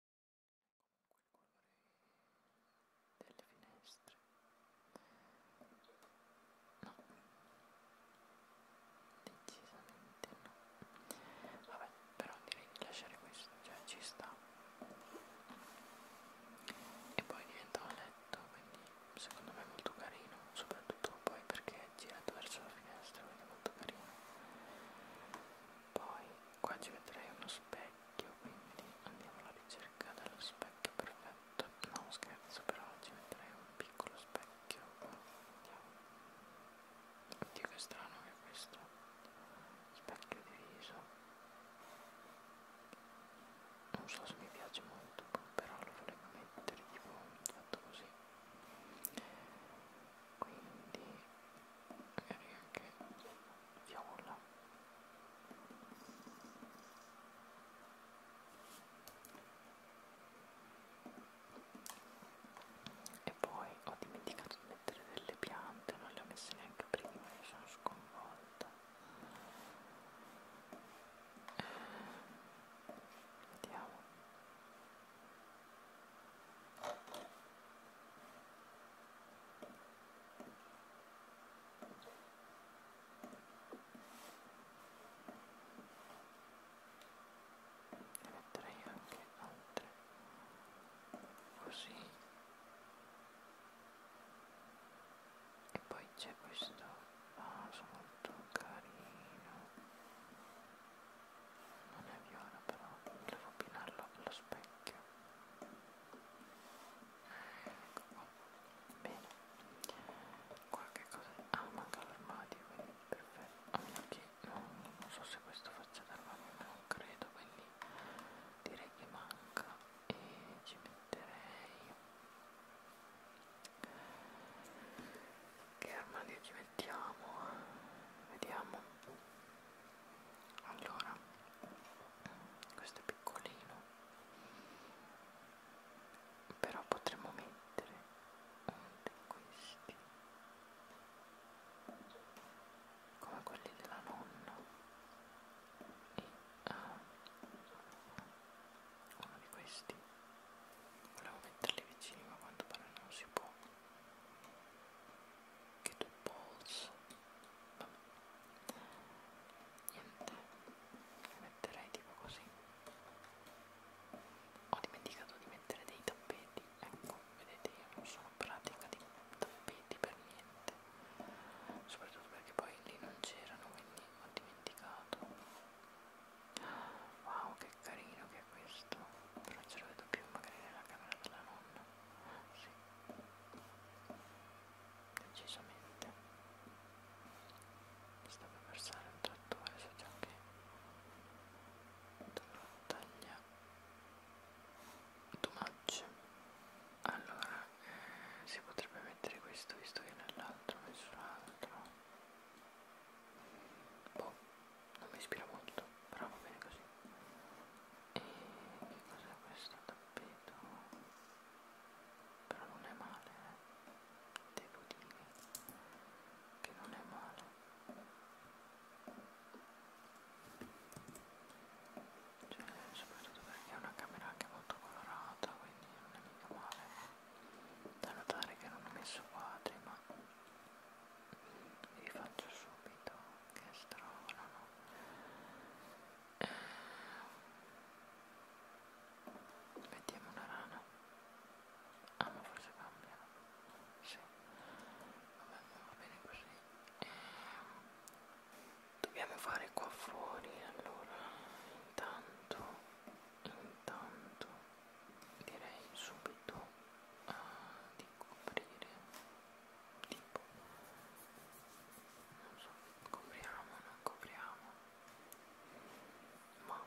comunque il colore delle finestre no decisamente no vabbè però direi di lasciare questo cioè ci sta e poi diventa un letto quindi secondo me è molto carino soprattutto poi perché è girato verso la finestra quindi è molto carino poi qua ci vedrei uno specchio quindi andiamo alla ricerca dello specchio perfetto no scherzo però ci vedrei un piccolo specchio andiamo oddio che strano che è questo specchio diviso non so se mi piace molto però lo volevo mettere tipo fatto così quindi magari anche viola e poi ho dimenticato di mettere delle piante non le ho messe neanche prima mi sono sconvolta eh, vediamo ne metterei anche altre così e poi c'è questo ah, molto carino non è viola però volevo abbinarlo allo specchio ecco qua bene qua che cosa ah manca l'armadio quindi perfetto a meno che non, non so se questo faccia d'armadio non credo quindi direi che manca e ci metterei che armadio ci mettiamo? Vediamo allora questo è piccolino però potremmo mettere uno di questi come quelli della nonna e uh, uno di questi volevo metterli vicini ma quanto pare non si può anche del polso Vabbè. niente le metterei tipo così ho dimenticato di mettere dei tappeti ecco vedete io non sono pratica di tappeti per niente soprattutto perché poi lì non c'erano quindi ho dimenticato wow che carino che è questo però ce lo vedo più magari nella camera della nonna sì. decisamente sta per versare un trattore so già che dovrò tagliare too much allora eh, si potrebbe mettere questo visto che nell'altro messo l'altro boh non mi ispira molto però va bene così e che cos'è questo tappeto però non è male eh. devo dire che non è male cioè soprattutto perché è una camera anche molto colorata quindi non è mica male eh. da notare che non ho messo quadri ma vi faccio subito che stronano eh, vediamo una rana ah ma forse cambia sì vabbè va bene così eh, dobbiamo fare qua fuori allora intanto intanto direi subito uh, di coprire tipo non so, copriamo, non copriamo ma No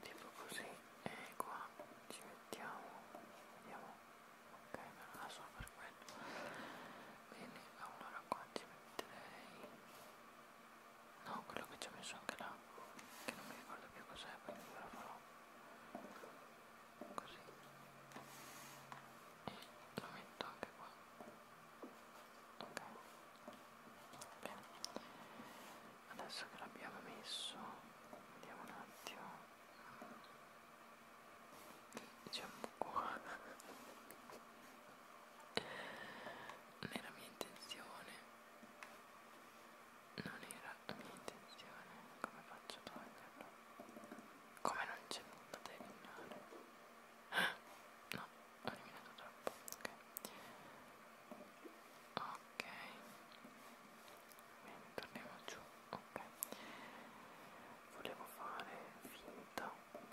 tipo così e qua ci mettiamo vediamo ok non la so per quello bene allora qua ci metterei no quello che ci ho messo anche là che non mi ricordo più cos'è quindi ve lo farò così e lo metto anche qua ok bene adesso che l'abbiamo messo vediamo un attimo diciamo qua non era mia intenzione non era la mia intenzione, come faccio a toglierlo? Come non c'è nulla da eliminare? No, ho eliminato troppo, ok. Ok, bene, torniamo giù, ok. Volevo fare finta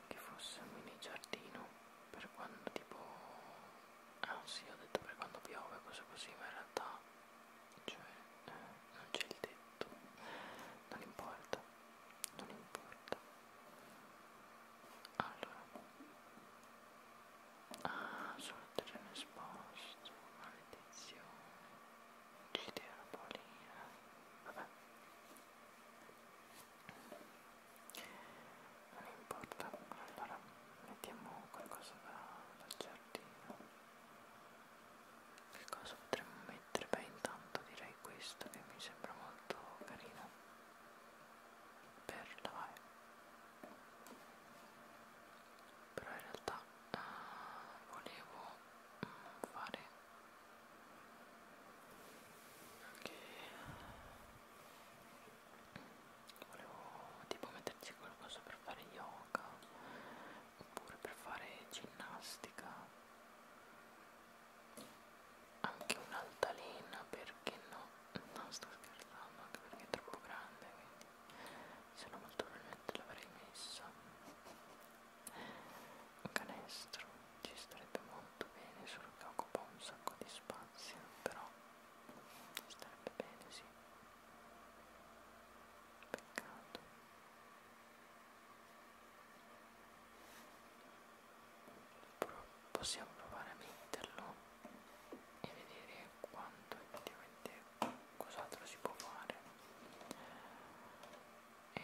che fosse un mini giardino per quando tipo... Ah sì, ho detto per quando piove, cosa così, ma in realtà cioè non c'è il tetto non importa non importa allora ah sul terreno esposto maledizione uccidere la polina vabbè non importa allora mettiamo qualcosa da, da giardino che cosa potremmo mettere? beh intanto direi questo che mi sembra molto carino per lavare però in realtà uh, volevo mm, fare anche okay volevo tipo metterci qualcosa per fare yoga oppure per fare ginnastica anche un'altalena perché no non sto scherzando anche perché è troppo grande quindi se no molto probabilmente l'avrei messa un canestro ci starebbe molto bene solo che occupa un sacco di spazio però starebbe bene sì Peccato. Però possiamo provare a metterlo e vedere quanto effettivamente cos'altro si può fare. E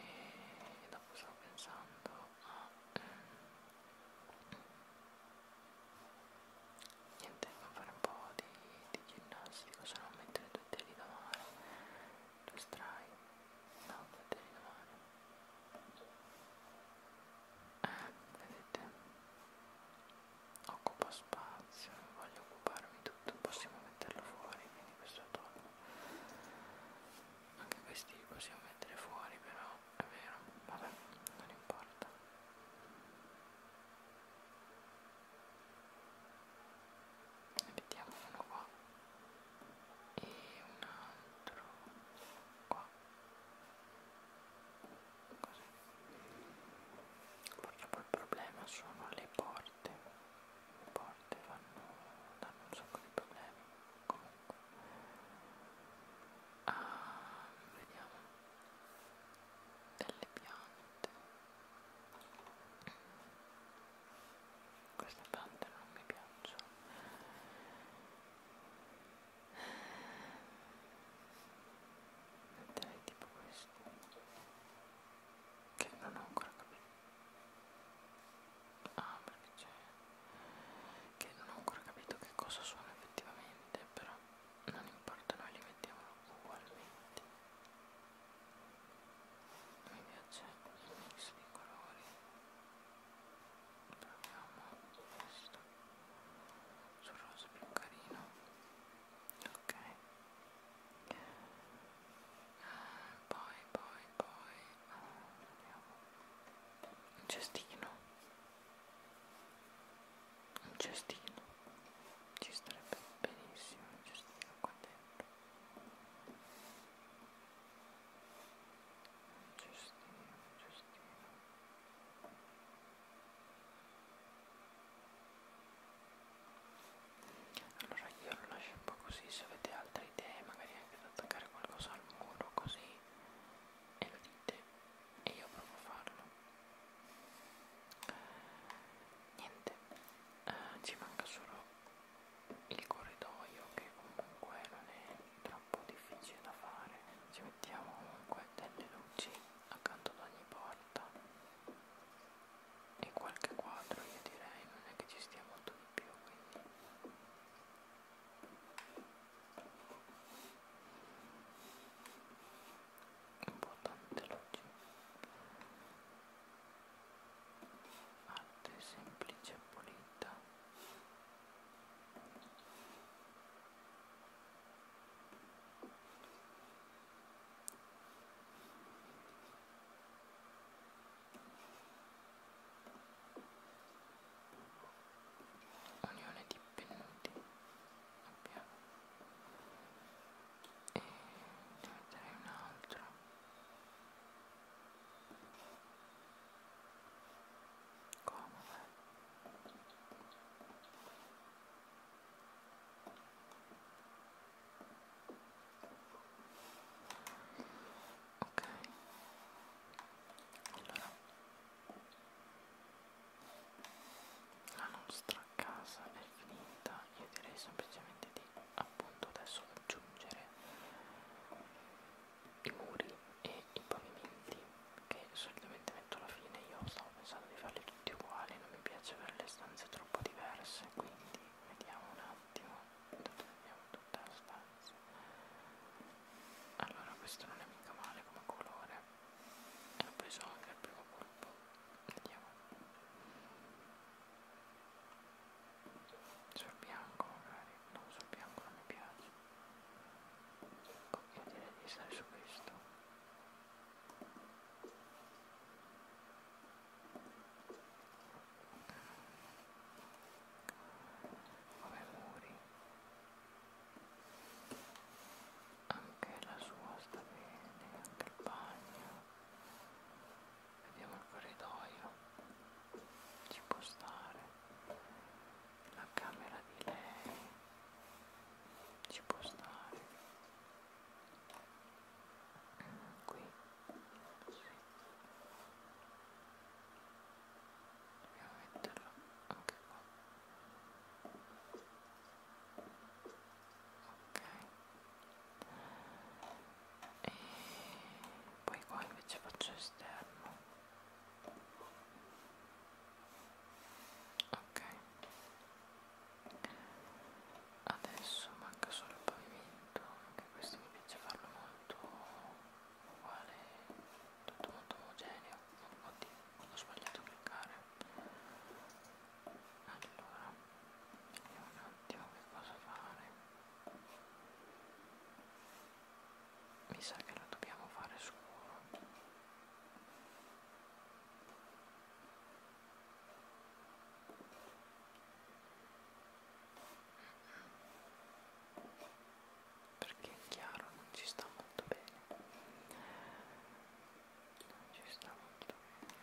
dopo stavo pensando a... Ah, ehm, niente a fare un po' di, di ginnastica se non mettere due teli da mare due strai no due teli da mare eh vedete occupa spazio non voglio occuparmi tutto possiamo metterlo fuori quindi questo tono anche questi li possiamo mettere fuori però è vero vabbè non importa vediamo uno qua e un altro qua così perché poi il problema sono le porte le porte fanno, danno un sacco di problemi comunque ah, vediamo delle piante queste piante non mi piacciono metterei tipo questo che non ho ancora capito ah perché c'è che non ho ancora capito che cosa sono effettivamente però non importa noi li mettiamo ugualmente mi piace il mix di colori proviamo questo sul rosa più carino ok poi poi poi andiamo un cestino un cestino ci starebbe benissimo un cestino qua dentro un cestino un cestino allora io lo lascio un po' così se avete altre idee magari anche da attaccare qualcosa al muro così e lo dite e io provo a farlo niente eh, ci manca solo il corridoio che comunque non è troppo difficile da fare ci mettiamo comunque delle luci accanto ad ogni porta e qualche quadro io direi non è che ci stia molto di più quindi importante oggi arte semplice e pulita unione di appennuti abbiamo e ne metterei un altro comodo ok allora la nostra casa è finita io direi semplicemente di appunto adesso aggiungere i muri e i pavimenti che solitamente metto alla fine io stavo pensando di farli tutti uguali non mi piace avere le stanze troppo diverse quindi vediamo un attimo dove abbiamo tutta la stanza allora questo non è mica male come colore ho preso anche il primo colpo vediamo sul bianco magari no sul bianco non mi piace ecco io direi di stare su questo come muri anche la sua sta bene, anche il bagno vediamo il corridoio ci può stare la camera di lei ci può stare qui sì. dobbiamo metterlo anche qua e poi qua invece faccio esterno ok adesso manca solo il pavimento anche questo mi piace farlo molto uguale tutto molto omogeneo oddio ho sbagliato a cliccare allora vediamo un attimo che cosa fare mi sa che lo dobbiamo fare scuro perché è chiaro non ci sta molto bene ci sta molto meglio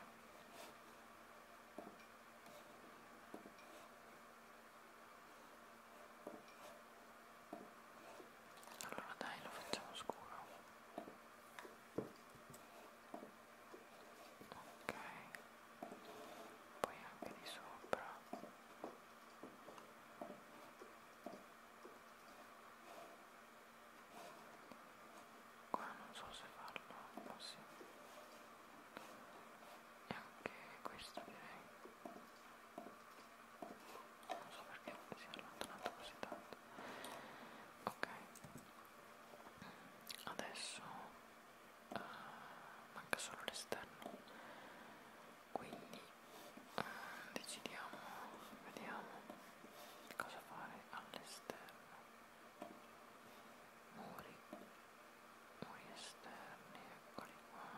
allora dai lo facciamo scuro ok poi anche di sopra ok qua non so se farlo ma oh, sì e anche questo direi non so perché si è allontanato così tanto ok adesso uh, manca solo l'esterno quindi eh, decidiamo vediamo cosa fare all'esterno muri muri esterni eccoli qua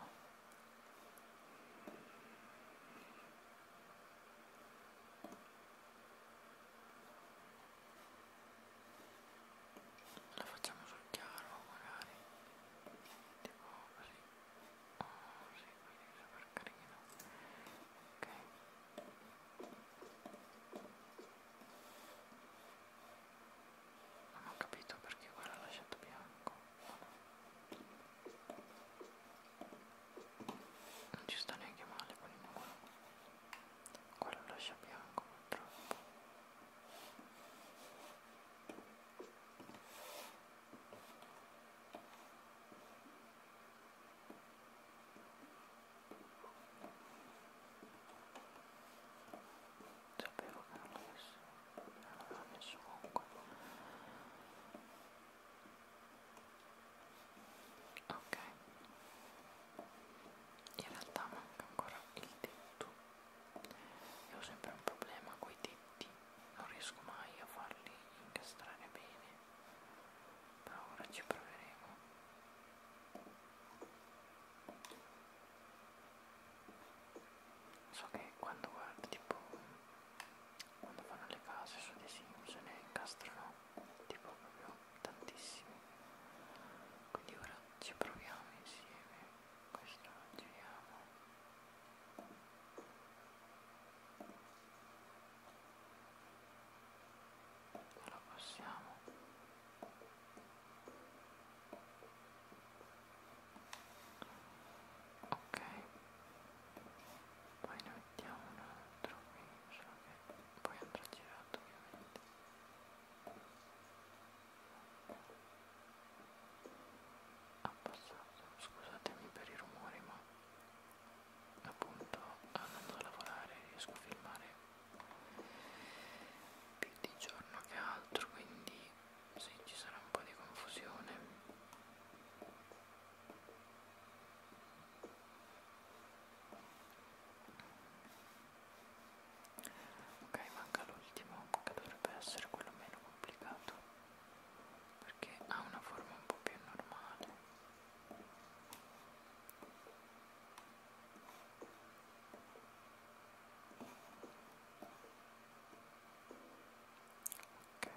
la facciamo sul chiaro magari tipo così oh, sì, quello è super carino ok non ho capito perché quello l'ho lasciato bianco non ci sta neanche male quello qua quello lascia bianco purtroppo sapevo che non l'avessi non l'aveva messo comunque ok in realtà manca ancora il tetto io ho sempre un problema coi tetti non riesco mai a farli incastrare bene, ma ora ci proveremo. So che quando guardo tipo quando fanno le case su dei Sims ne incastrano tipo proprio tantissimi. Quindi ora ci proviamo insieme. Questo lo giriamo lo passiamo ok poi ne mettiamo un altro qui solo che poi andrà girato ovviamente ha passato scusatemi per i rumori ma appunto andando a lavorare riesco a filmare più di giorno che altro quindi sì ci sarà un po' di confusione ok manca l'ultimo che dovrebbe essere quello meno complicato perché ha una forma un po' più normale ok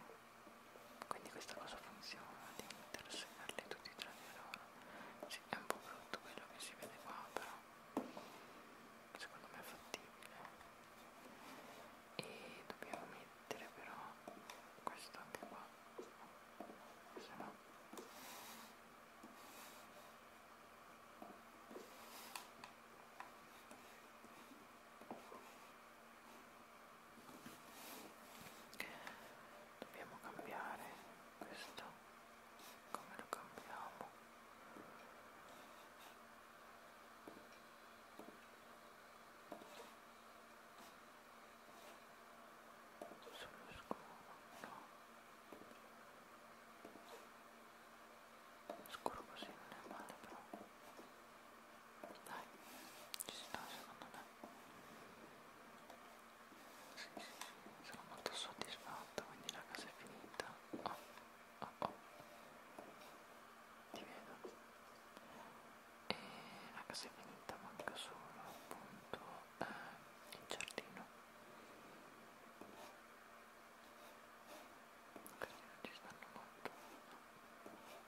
quindi questa cosa funziona di intersegarli tutti tra di loro sì, è un po' brutto quello che si vede qua però secondo me è fattibile e dobbiamo mettere però questo anche qua se no dobbiamo cambiare questo come lo cambiamo sullo scuro no scuro così non è male però dai ci sta secondo me sì, sì, sono molto soddisfatto quindi la casa è finita oh, oh, oh ti vedo e la casa è finita manca solo appunto eh, il giardino così non ci stanno molto ok